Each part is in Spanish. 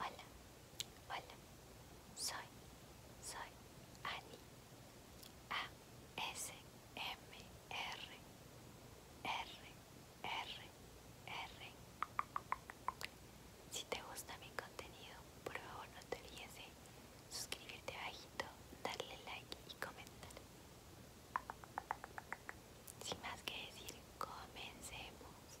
Hola, hola, soy, soy Ani A-S-M-R R-R-R Si te gusta mi contenido, por favor no te olvides de suscribirte abajito, darle like y comentar sin más que decir, comencemos.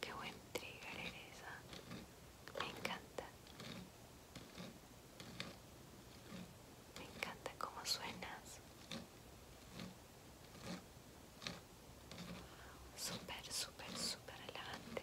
Qué buen trigger eres, ¿ah? me encanta. Me encanta cómo suenas. super super super relajante.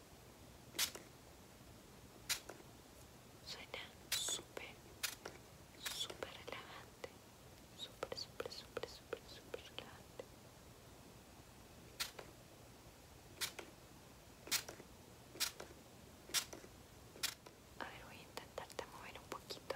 Suena súper, súper relajante. Súper, súper, súper, súper, súper relajante. A ver, voy a intentarte mover un poquito.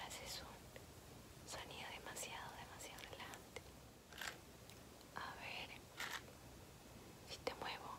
Haces un sonido demasiado, demasiado adelante A ver si te muevo.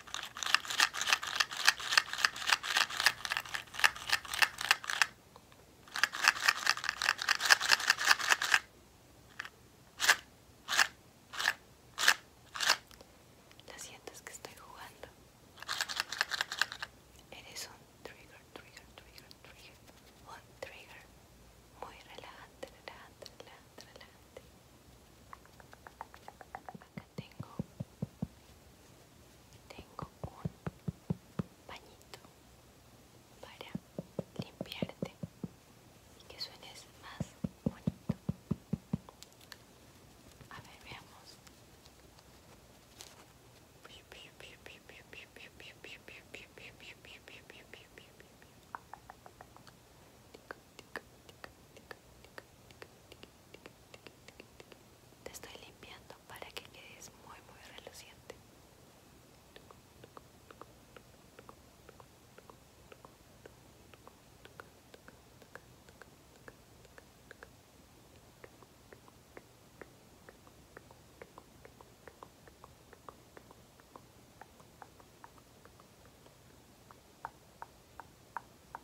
La sientes que estoy jugando. Eres un trigger, trigger, trigger, trigger. Un trigger. Muy relevante, relevante, relevante, relevante. Acá tengo tengo un bañito para limpiarte y que suenes más bonito. A ver, veamos. Te estoy limpiando para que quedes muy muy reluciente.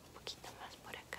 un poquito más por acá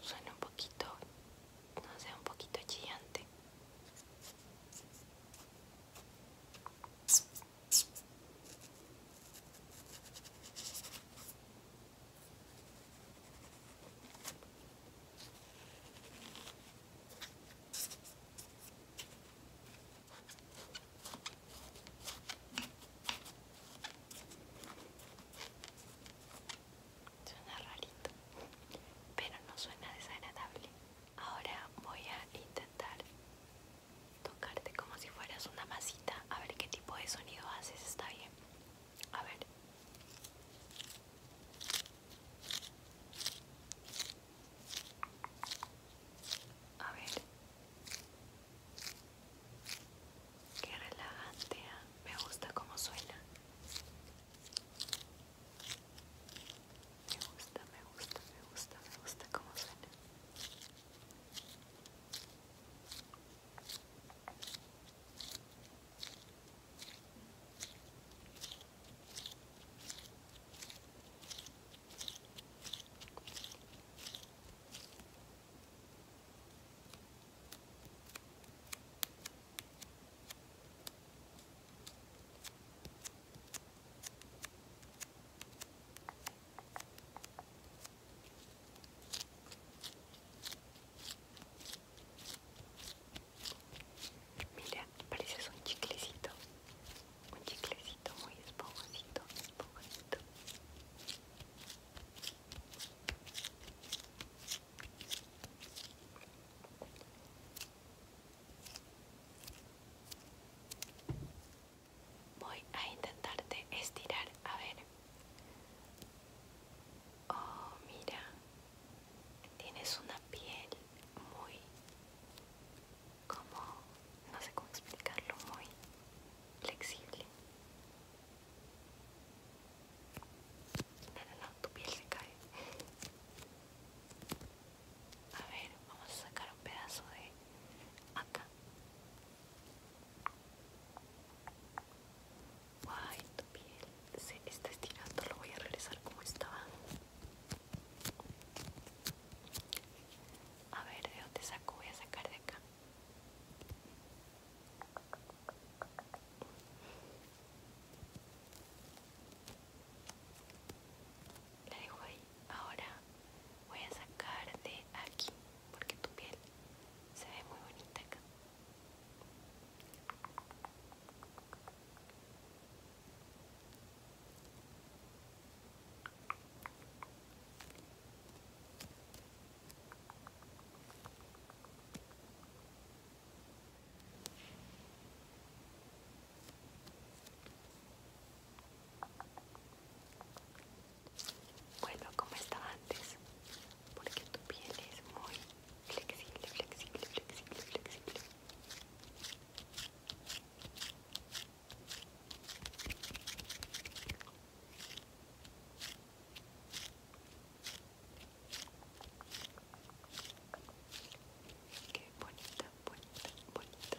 Suena un poquito, no sé, un poquito chillante. Suena rarito, pero no suena desagradable. Ahora voy a intentar tocarte como si fueras una masita. A ver qué tipo de sonido haces. Está bien. A ver. A ver. Qué relajante. Ah, me gusta cómo suena. Me gusta, me gusta, me gusta, me gusta como suena. Mira, pareces un chiclecito, un chiclecito muy esponjosito, esponjosito. Voy a intentarte estirar, a ver. Oh, mira. Tienes una piel muy... como... no sé cómo explicarlo, muy flexible. No, no, no, tu piel se cae. A ver, vamos a sacar un pedazo de acá. Guay, tu piel se está estirando, lo voy a regresar como estaba. A ver, ¿de dónde saco? Voy a sacar de acá. La dejo ahí ahora voy a sacar de aquí porque tu piel se ve muy bonita bueno, como estaba antes, porque tu piel es muy flexible, flexible, flexible, flexible. Qué bonita, bonita, bonita.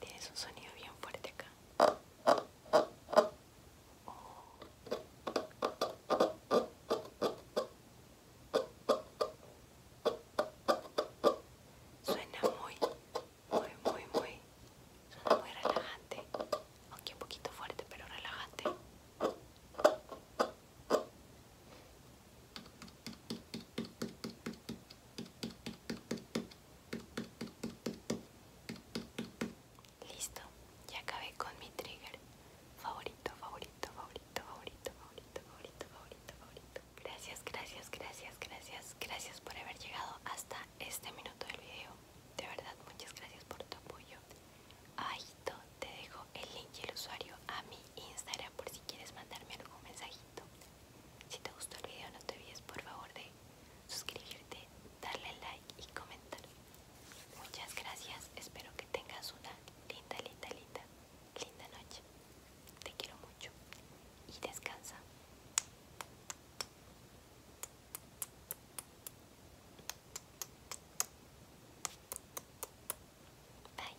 Tienes un sonido bien fuerte acá. Suena muy, muy, muy, muy, suena muy relajante, aunque un poquito fuerte, pero relajante. Listo, ya acabé con mi trigger favorito, favorito, favorito, favorito, favorito, favorito, favorito, favorito. Gracias, gracias, gracias, gracias, gracias por haber llegado hasta este minuto del video. De verdad, muchas gracias por tu apoyo. Ahí te dejo el link y el usuario a mi Instagram por si quieres mandarme algún mensajito si te gustó el video no te olvides por favor de suscribirte, darle like y comentar. Muchas gracias, espero que tengas una linda, linda, linda, linda noche. Te quiero mucho y descansa. Bye.